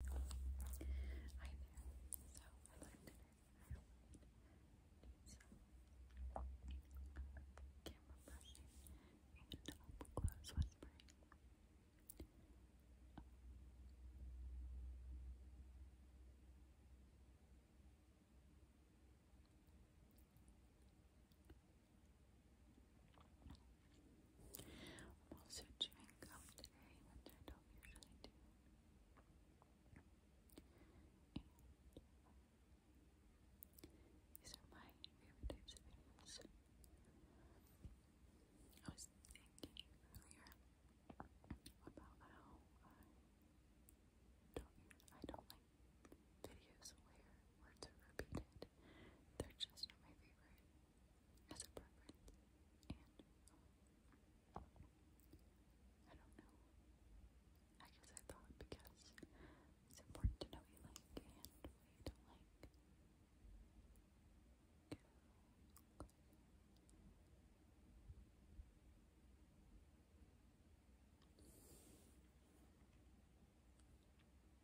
Hi there. So I learned today I don't do some camera brushing and up close whispering. Um, I'm also chewing gum I don't usually do. these are my favorite types of videos. I was thinking earlier about how I don't like videos where words are repeated. They're just not my favorite as a preference. And um, I don't know. I guess I thought because it's important to know you like and what don't like.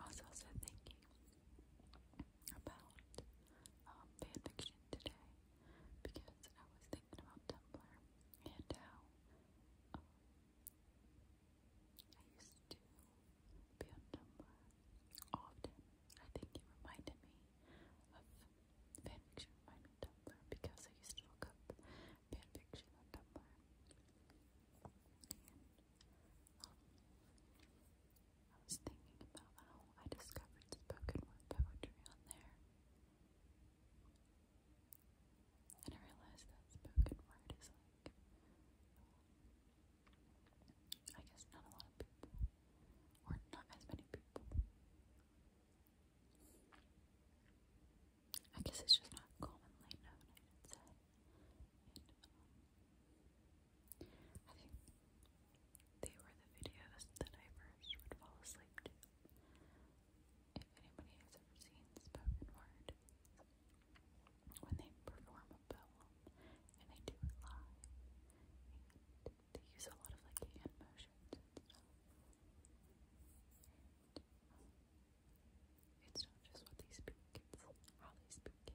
Also said thinking about um, fanfiction today because I was thinking about Tumblr and how um, I used to be on Tumblr often. I think it reminded me of Fanfiction find Tumblr because I used to look up fanfiction on Tumblr. Um, I was thinking about how I discovered spoken word poetry on there. And I realized that spoken word is like, I guess not a lot of people, or not as many people, I guess it's just not commonly known, um, I think they were the videos that I first would fall asleep to. If anybody has ever seen Spoken Word, when they perform a poem and they do it live, they use a lot of like hand motions um, it's not just what they speak, how they speak I always find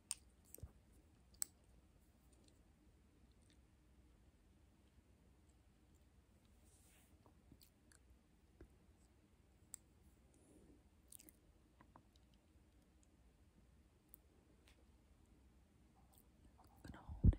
I'm gonna hold it right there.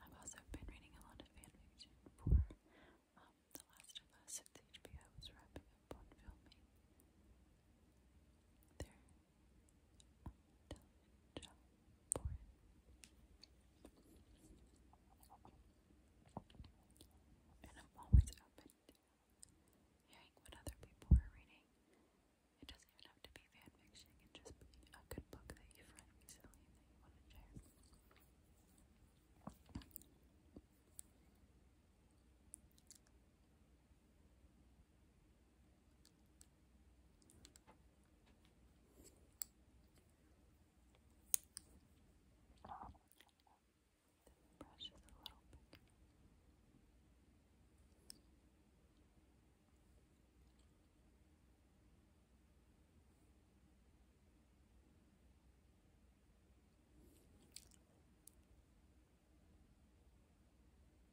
I've also been reading a lot of fanfiction for um, The Last of Us since HBO was wrapping up on filming their um, for And I'm always open to hearing what other people are reading. It doesn't even have to be fan fiction, it can just be a good book that you've read recently this brush is a little bigger. This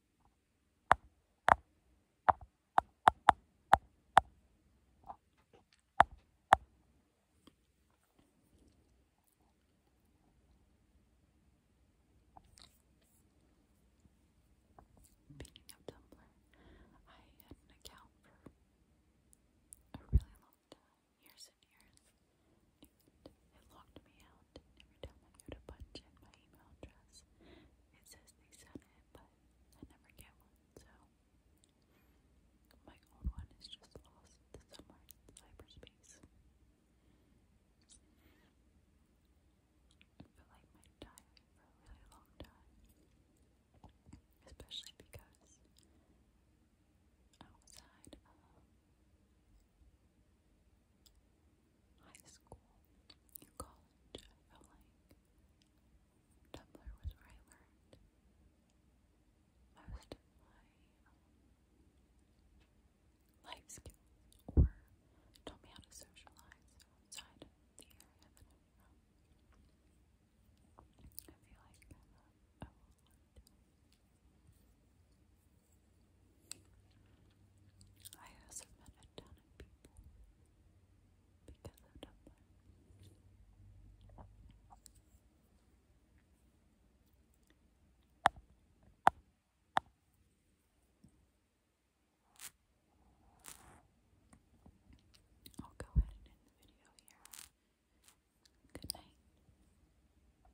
Speaking of Tumblr, I had an account for a really long years and years. It locked me out, every time I go to punch in my email address, it says they sent it, but I never get so my old one is just lost somewhere in cyberspace. I feel like my died for a really long time, especially because outside of high school college, I felt like Tumblr was where I learned most of my um, life skills or taught me how to socialize outside the area i feel like I also met a ton of people because of Tumblr. I'll go ahead and end the video here. Good night.